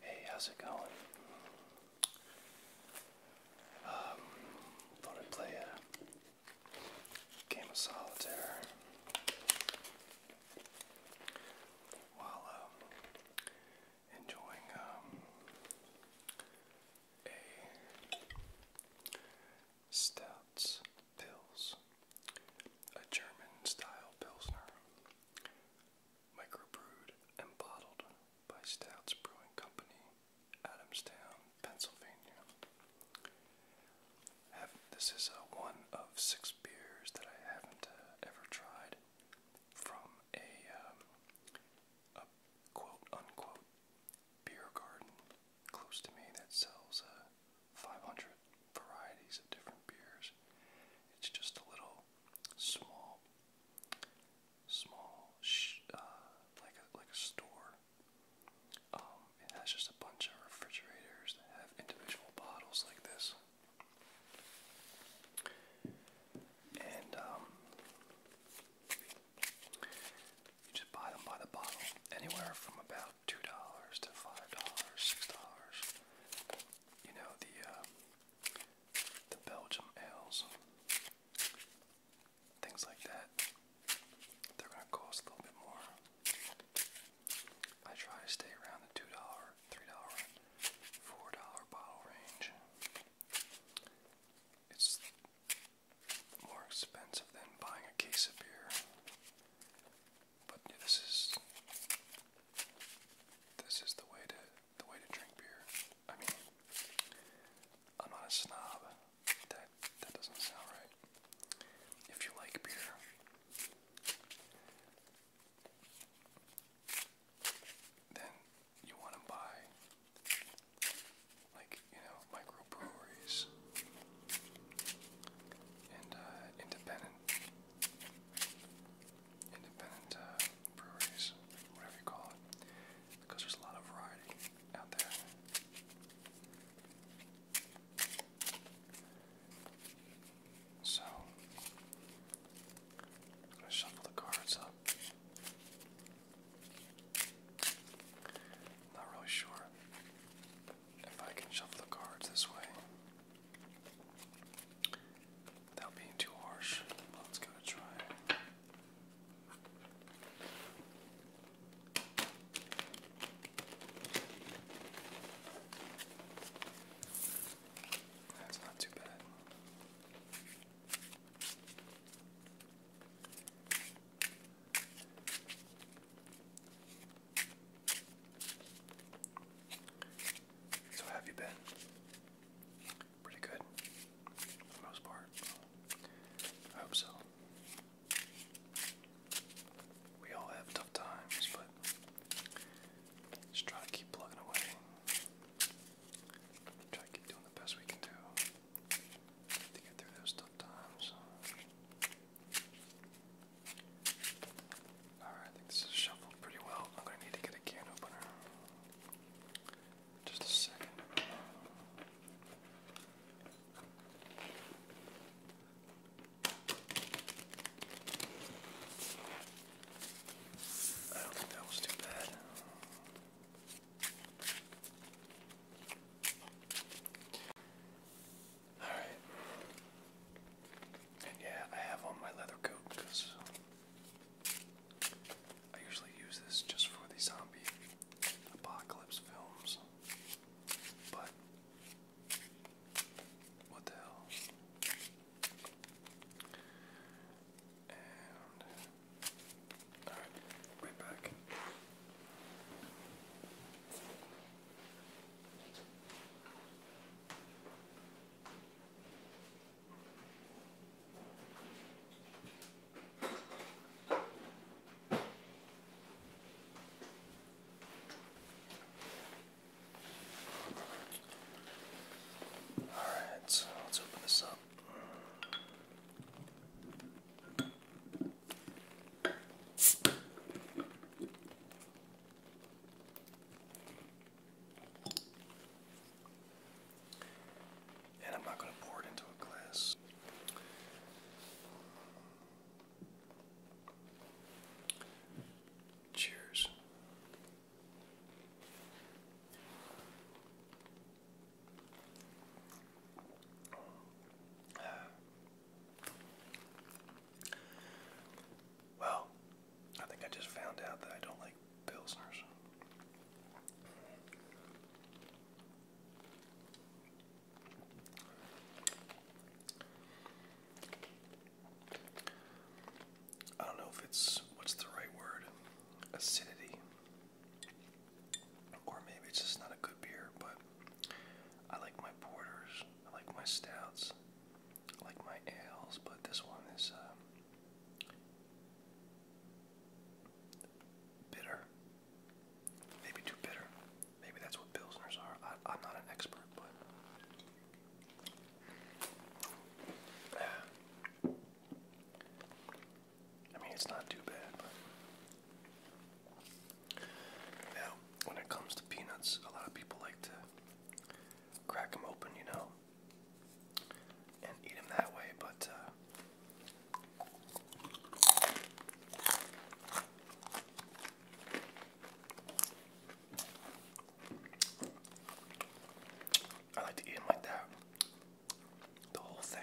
Hey, how's it going? thought um, I'd play a game of solitaire while enjoying um, a Stouts Pills, a German style Pilsner, microbrewed and bottled by Stouts Brewing Company, Adamstown, Pennsylvania. Have, this is uh, one of six beers that I haven't uh, ever tried from a, um, a quote unquote beer garden close to me that sells uh, 500 varieties of different beers. It's just a little small, small, uh, like a like store. Um, it has just a bunch of refrigerators that have individual bottles like this. And um, you just buy them by the bottle, anywhere from about two dollars to five dollars, six dollars. You know the uh, the Belgium ales, things like that. They're gonna cost a little bit more. I try to stay around the two dollar $3, $4 bottle range. It's more expensive than buying a case of beer. But this is this is the way to the way to drink beer. I mean, I'm not a snob. That that doesn't sound right. If you like beer, then you want to buy, like, you know, microbreweries and uh, independent, independent uh, whatever you call it, because there's a lot of variety out there. So, I'm going to shuffle the cards up. Not really sure if I can shuffle the cards this way. Without being too harsh, let's give try. That's not too bad. So, have you been? Pretty good, for most part. hope so. We all have tough times, but just try to keep plugging away. Try to keep doing the best we can do to get through those tough times. Alright, I think this is shuffled pretty well. I'm going to need to get a can opener. Just a second. I don't think that was too bad. Alright. And yeah, I have on my leather coat because I usually use this just for the zombie apocalypse films. But what the hell? And all right, right back. Alright, let's open this up. And I'm not going to pour it into a glass. Cheers. Well, I think I just found out that I don't like pilsners. I don't know if it's what's the right word acidity, or maybe it's just not a good beer. But I like my porters, I like my stouts, I like my ales, but this one is uh, bitter, maybe too bitter. Maybe that's what pilsners are. I'm not an expert, but I mean, it's not too bad, Now, when it comes to peanuts, a lot of people like to crack them open, you know, and eat them that way, but, uh, I like to eat them like that. The whole thing.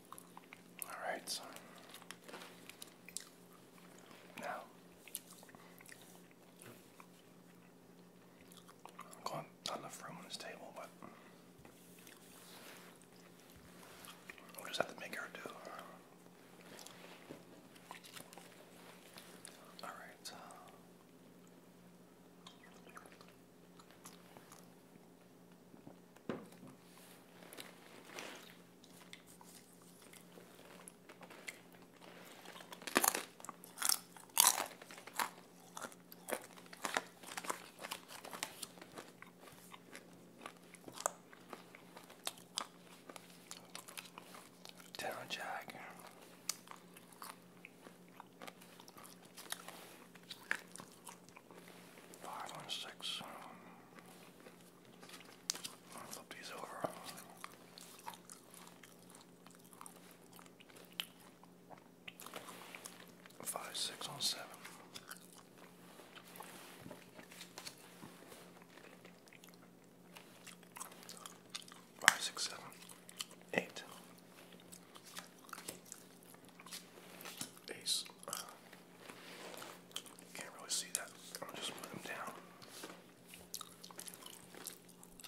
All right, so now I've got enough room this table, but we just have to make her do. All right. Uh, Town Jack. Five and six. Um, I'll flip Five, six, and seven. Five, six, seven, eight. Ace. can't really see that. I'll just put them down.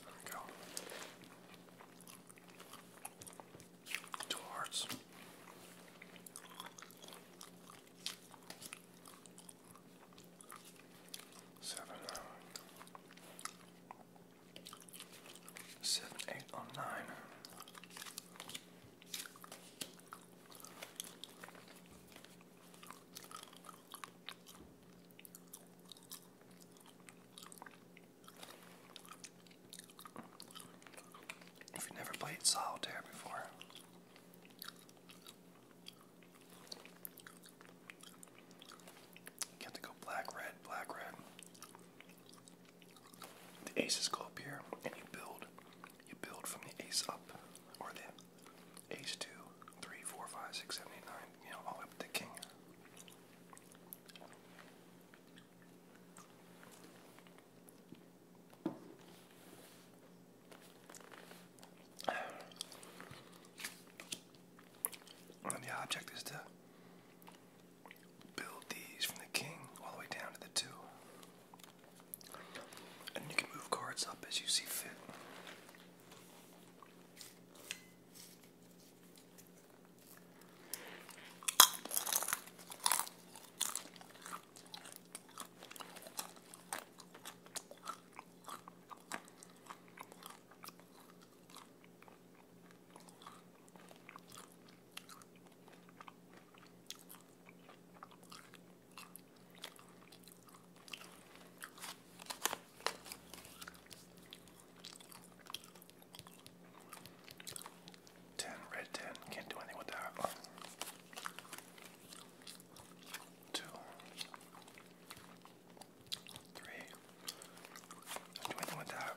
There we go. Two hearts. Seven, seven, eight, on nine. If you've never played solitaire before, you have to go black, red, black, red. The aces go up here, and you build you build from the ace up, or the ace two, three, four, five, six, seven, eight, nine, you know, all up to the king. And the object is to build these from the king all the way down to the two. And you can move cards up as you see fit. Ten, red ten, can't do anything with that. Two, three, can't do anything with that.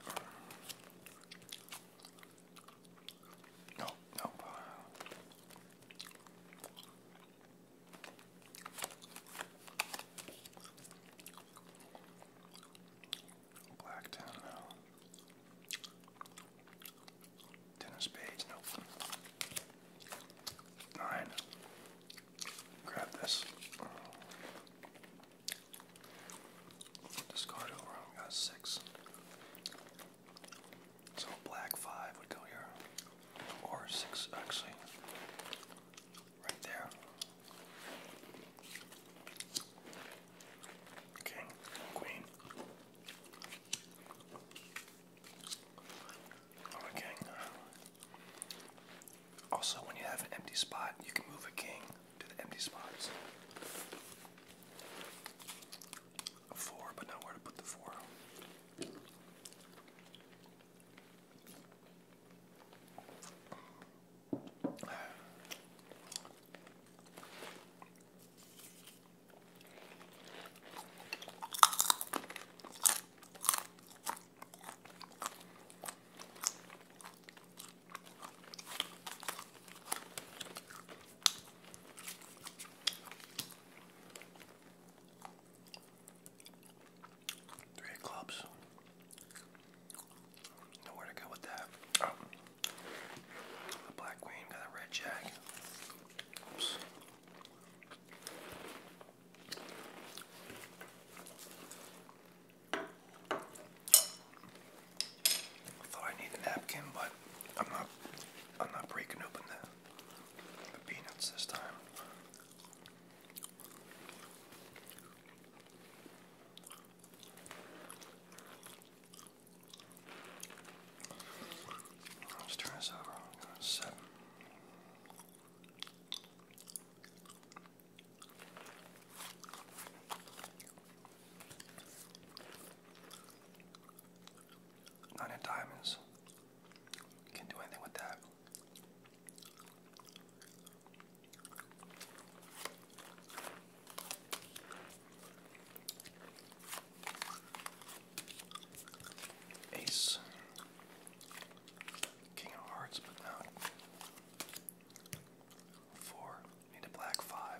No, no. Blacktown, no. Ten of nope. Nine. Grab this. Discard over. got six. So black five would go here, or six actually, right there. King, queen. Or Also, when you have an empty spot, you can move a king to the empty spots a four, but not where to put the four. Three clubs. Nowhere to go with that. The black queen got a red jack. Oops. thought I need a napkin, but I'm not I'm not breaking open the, peanuts this time. Let's turn this over. Seven. Not in diamonds. Can't do anything with that. Ace, King of Hearts, but no. Four, need a black five.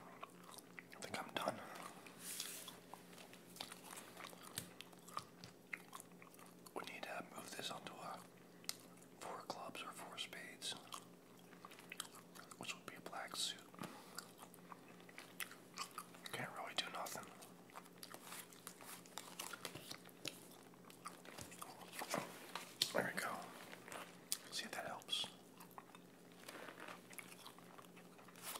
I think I'm done. We need to move this onto a uh, four clubs or four spades, which would be a black suit. Can't really do nothing. There we go. See if that helps.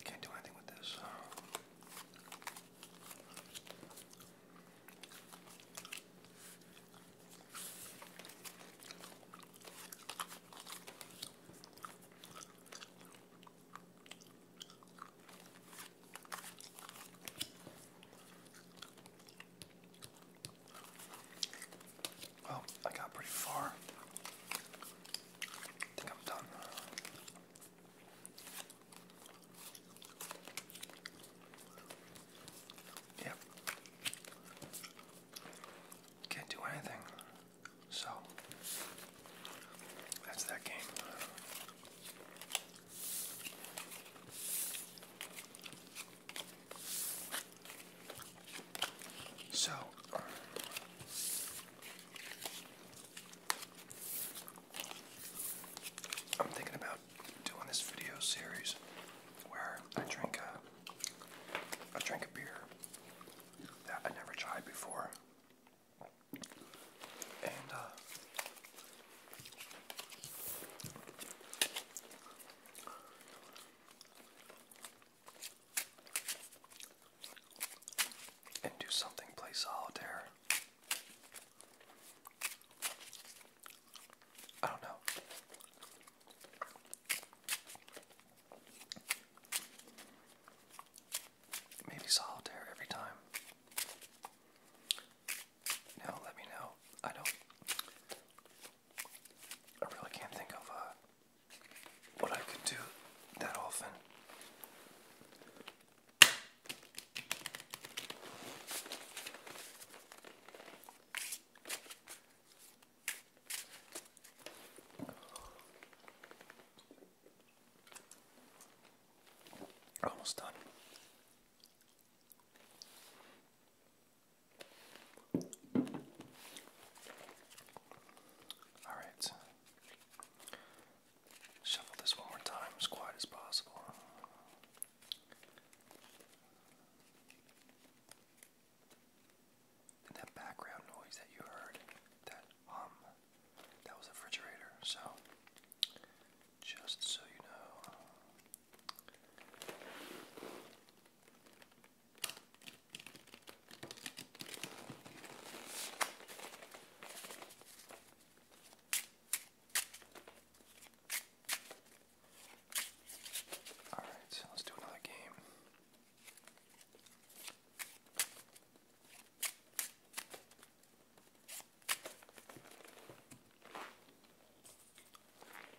I can't do anything with this. Well, I got pretty far. I think I'm done. Yep. Can't do anything. So, that's that game. So, I'm thinking about doing this video series where I drink a, I drink a beer that I never tried before, and uh, and do something, play solitaire. I don't know. Maybe solitaire every time. No, let me know. I don't I really can't think of uh, what I could do that often. Almost done. All right. Shuffle this one more time as quiet as possible. that background noise that you heard, that hum, that was a refrigerator. So, just so you know, all right, so let's do another game.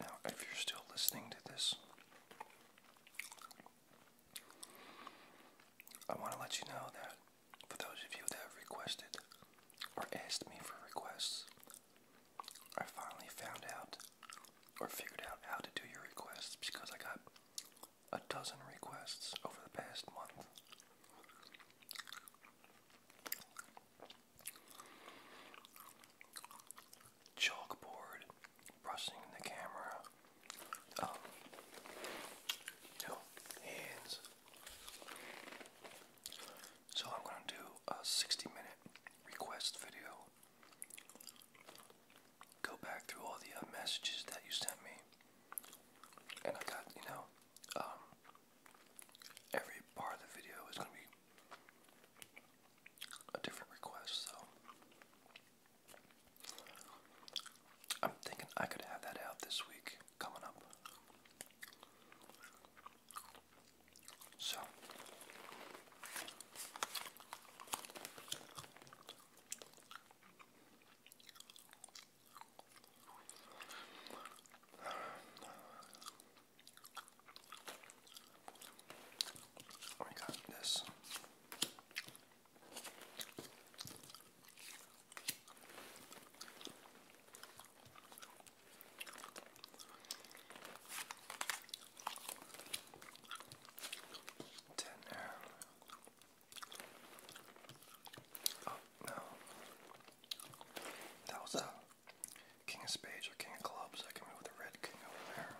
Now, if you're still listening to this, I want to let you know that for those of you that have requested or asked me for requests, I finally found out or figured out how to do your requests because I got a dozen requests over the past month. Chalkboard, brushing the camera, um, you hands, so I'm gonna do a 60 minute request video. Go back through all the uh, messages that you sent me. And I got, you know, um, every part of the video is gonna be a different request, so I'm thinking I could have that out this week coming up. So we got this. Dinner. Oh no. That was a King of Spades or King of Clubs. I can move the red king over there.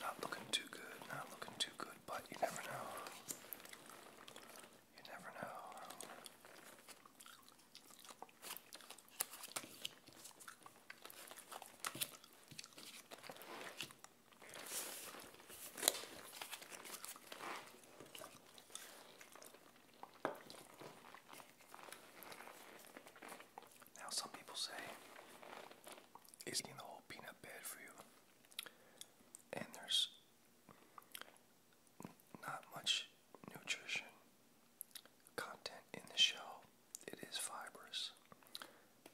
Not looking too good, not looking too good, but you never know. You never know. Now, some people say, is eating the whole peanut bad for you? And there's not much nutrition content in the shell. It is fibrous.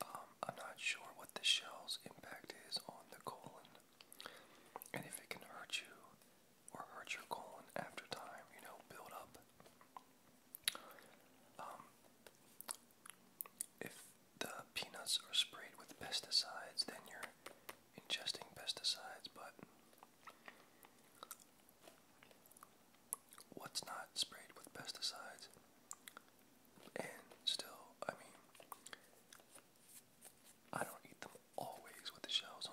Um, I'm not sure what the shell's impact is on the colon and if it can hurt you or hurt your colon after time, you know, build up. Um, if the peanuts are sprayed with pesticides, then you're ingesting pesticides, but what's not sprayed with pesticides? And still, I mean, I don't eat them always with the shells on.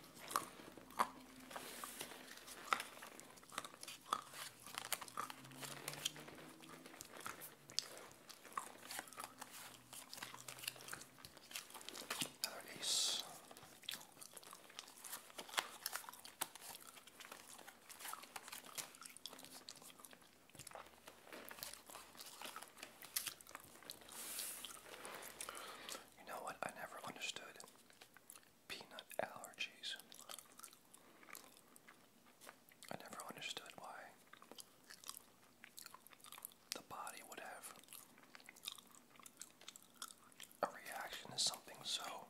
Another You know what? I never understood peanut allergies. I never understood why the body would have a reaction to something so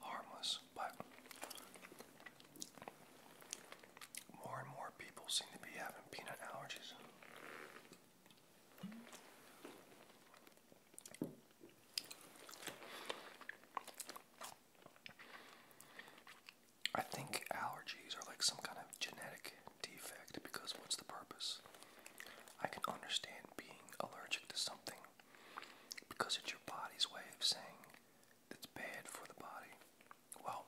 harmless, but more and more people seem to be having peanut allergies. I think allergies are like some kind of genetic defect because what's the purpose? I can understand being allergic to something because it's your body's way of saying it's bad for the body. Well,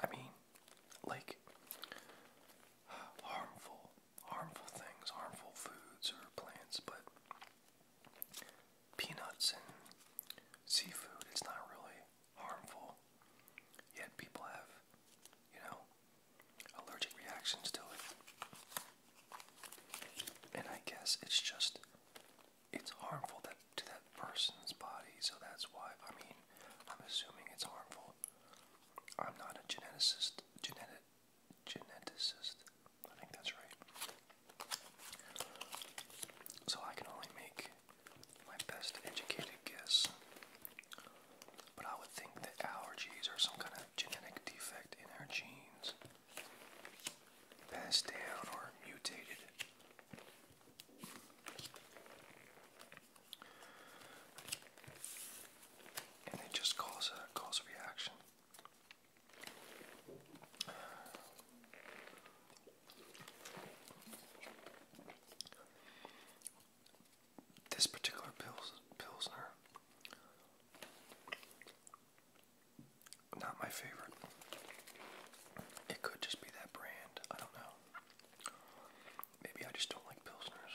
I mean, like harmful harmful things, harmful foods or plants, but peanuts and seafood, it's not really harmful. Yet people have, you know, allergic reactions to it. And I guess it's just it's harmful that to that person's body, so that's why I mean, I'm assuming it's harmful. I'm not a geneticist. Genetic, geneticist. I think that's right. So I can only make my best educated guess. But I would think that allergies are some kind of genetic defect in our genes, passed down or mutated and it just causes a cause a reaction. This particular pils pilsner, not my favorite. It could just be that brand. I don't know. Maybe I just don't like pilsners.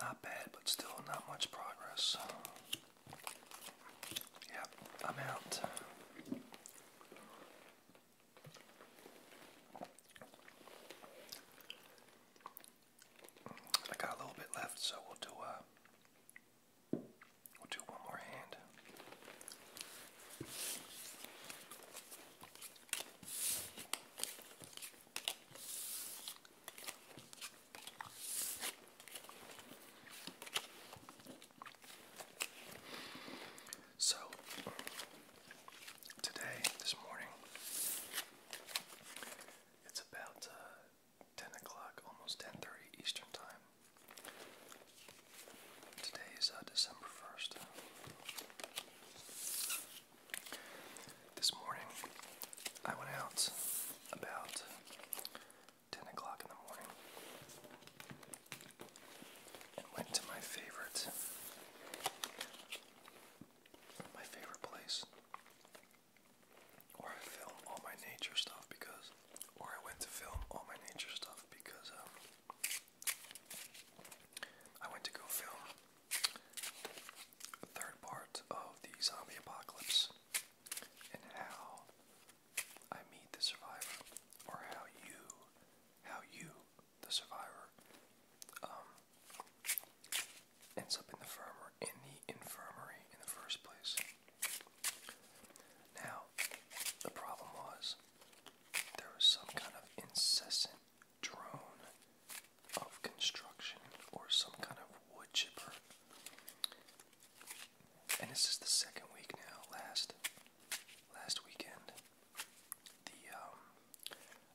Not bad, but still not much progress. Yep, I'm out. I got a little bit left, so we'll do uh, we'll do one more hand. So today, this morning. It's about uh, 10 o'clock, almost 10.30 Eastern Time. Today is uh, December 1st. This morning, I went out about 10 o'clock in the morning and went to my favorite my favorite place where I film all my nature stuff because, or I went to film all my nature stuff because um, I went to go film the third part of the zombie apocalypse and how I meet the survivor, or how you, how you the survivor um, ends up in the infirmary in the first place. Now, the problem was there was some kind of incessant drone of construction or some kind of wood chipper. And this is the second week now. Last last weekend, the um,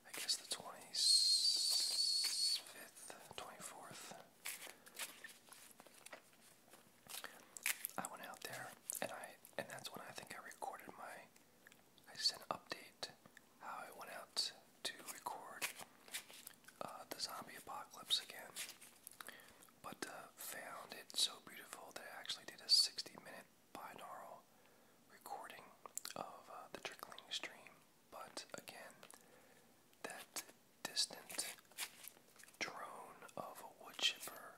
I guess the 25th, 24th. I went out there and I and that's when I think I recorded my I sent an update how I went out to record uh, the zombie apocalypse again. But uh, found it so beautiful that I actually did a 60 minute binaural recording of uh, the trickling stream, but again, that distant drone of a wood chipper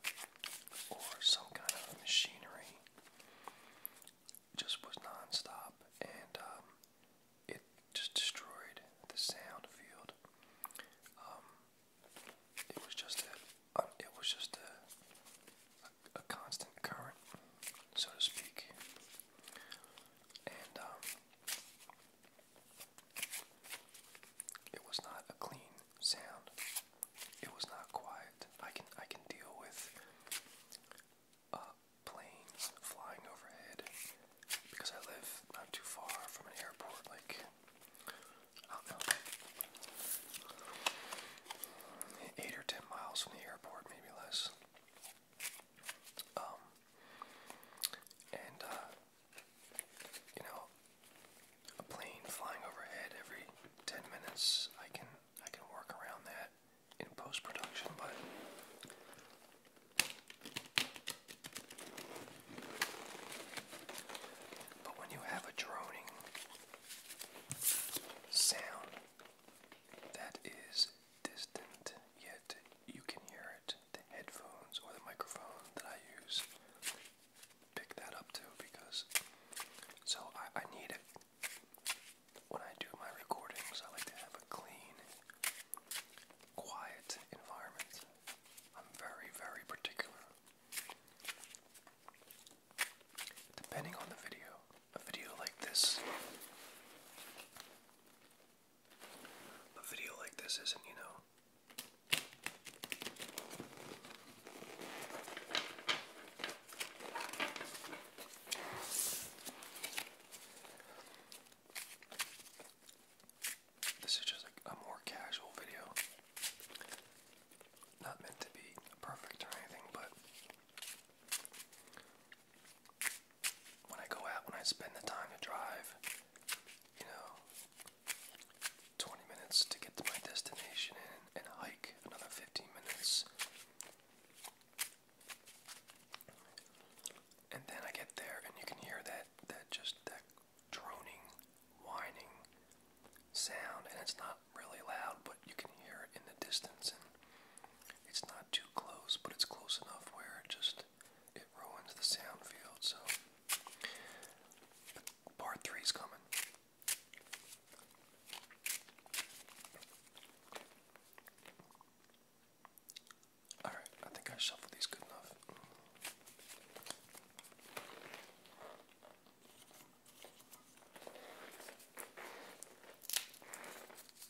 or some kind of machinery just was non and um, it just destroyed the sound field. Um, it was just a, it was just a, a, constant current, so to speak. And um, it was not a clean sound. It was not quiet. I can I can deal with uh, planes flying overhead because I live not too far from an airport. Like I don't know, eight or ten miles from the airport, maybe less. Um, and uh, you know, a plane flying overhead every ten minutes. I can I can work around that in post production, but. But when you have a droning sound, that is distant, yet you can hear it. The headphones or the microphone that I use pick that up too because so I need it. When I do my recordings, I like to have a clean, quiet environment. I'm very, very particular. Depending on the video, a video like this. A video like this isn't, you know. This is just like a more casual video. Not meant to be perfect or anything, but when I go out, when I spend the time to drive, you know, 20 minutes to get to my destination and, hike another 15 minutes. And then I get there and you can hear that, that just that droning, whining sound and it's not really loud but you can hear it in the distance it's not too close, but it's close enough where it just it ruins the sound field. So part three is coming. All right, I think I shuffled these good enough.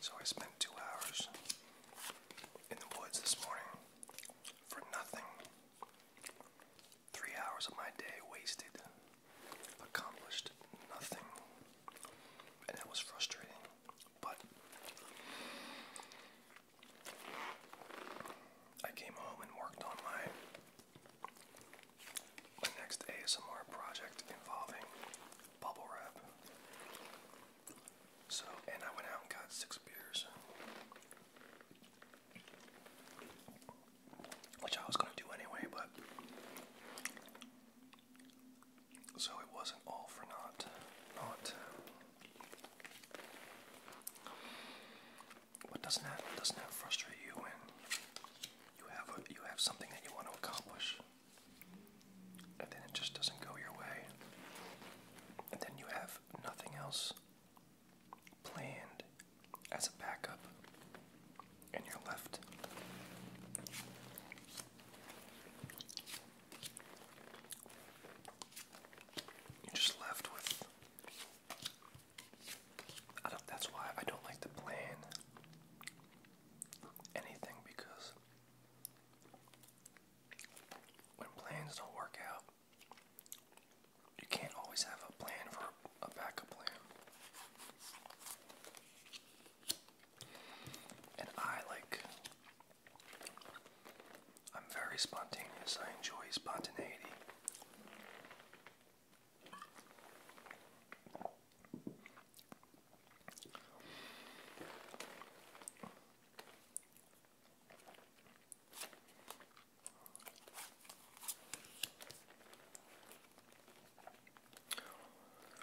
So I spent two hours in the woods this morning for nothing. Three hours of my day wasted accomplished nothing, and that was frustrating. But I came home and worked on my my next ASMR project involving bubble wrap. So, and I went out and got six beers which I was going to do anyway, but so it wasn't all for naught. Not doesn't doesn't that frustrate you when you have you have something that you want to accomplish, and then it just doesn't go your way, and then you have nothing else planned as a backup, and you're left you're just left with I don't that's why I don't like to plan anything because when plans don't work out you can't always have a plan for a backup plan. And I like I'm very spontaneous. I enjoy spontaneity.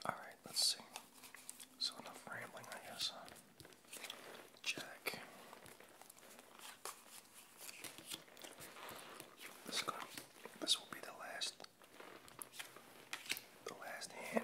Alright, let's see. So, enough rambling, I guess. Jack. This, is gonna, this will be the last. The last hand.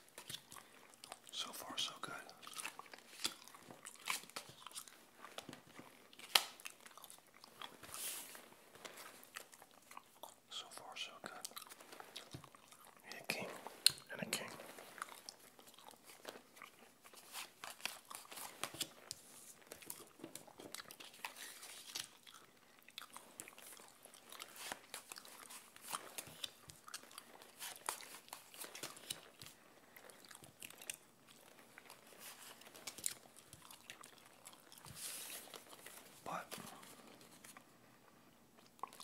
So far, so good. So far, so good. Need a and a king. But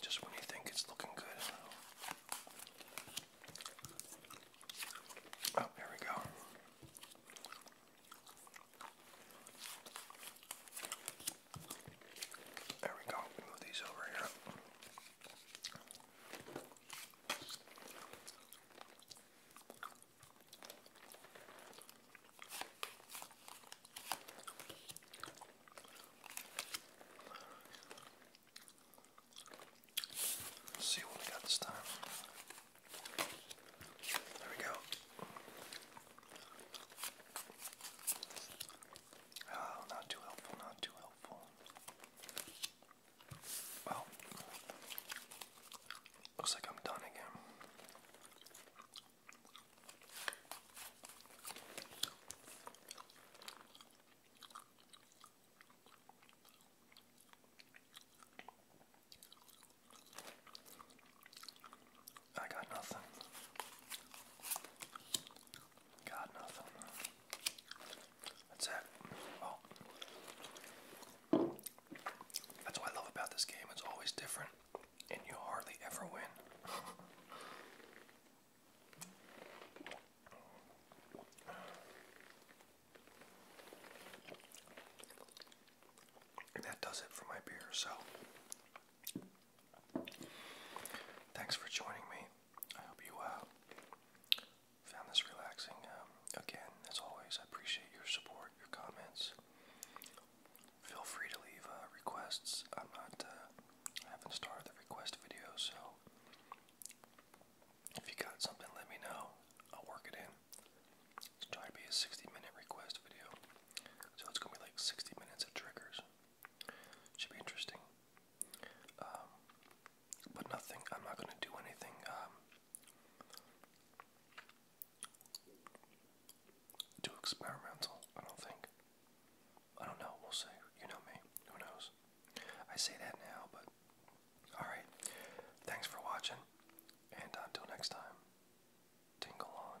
just when you think it's looking good. Oh, there we go. There we go. move these over here. Let's see what we got this time. There we go. Oh, not too helpful, not too helpful helpful. looks like I'm done again. I got nothing. Got nothing. That's it. Oh. that's what I love about this game. It's always different, and you hardly ever win. that does it for my beer, so thanks for joining me. I hope you uh, found this relaxing. Um, again, as always, I appreciate your support, your comments. Feel free to leave uh, requests. I'm not. Uh, I haven't started the request video, so if you got something, let me know. I'll work it in. It's trying to be a 60-minute request video, so it's gonna be like 60 minutes of triggers. Should be interesting. Um, but nothing. I'm not going to do anything. Um, experimental. I don't think. I don't know. We'll see. You know me. Who knows? I say that now, but all right. Thanks for watching, and until next time, tingle on.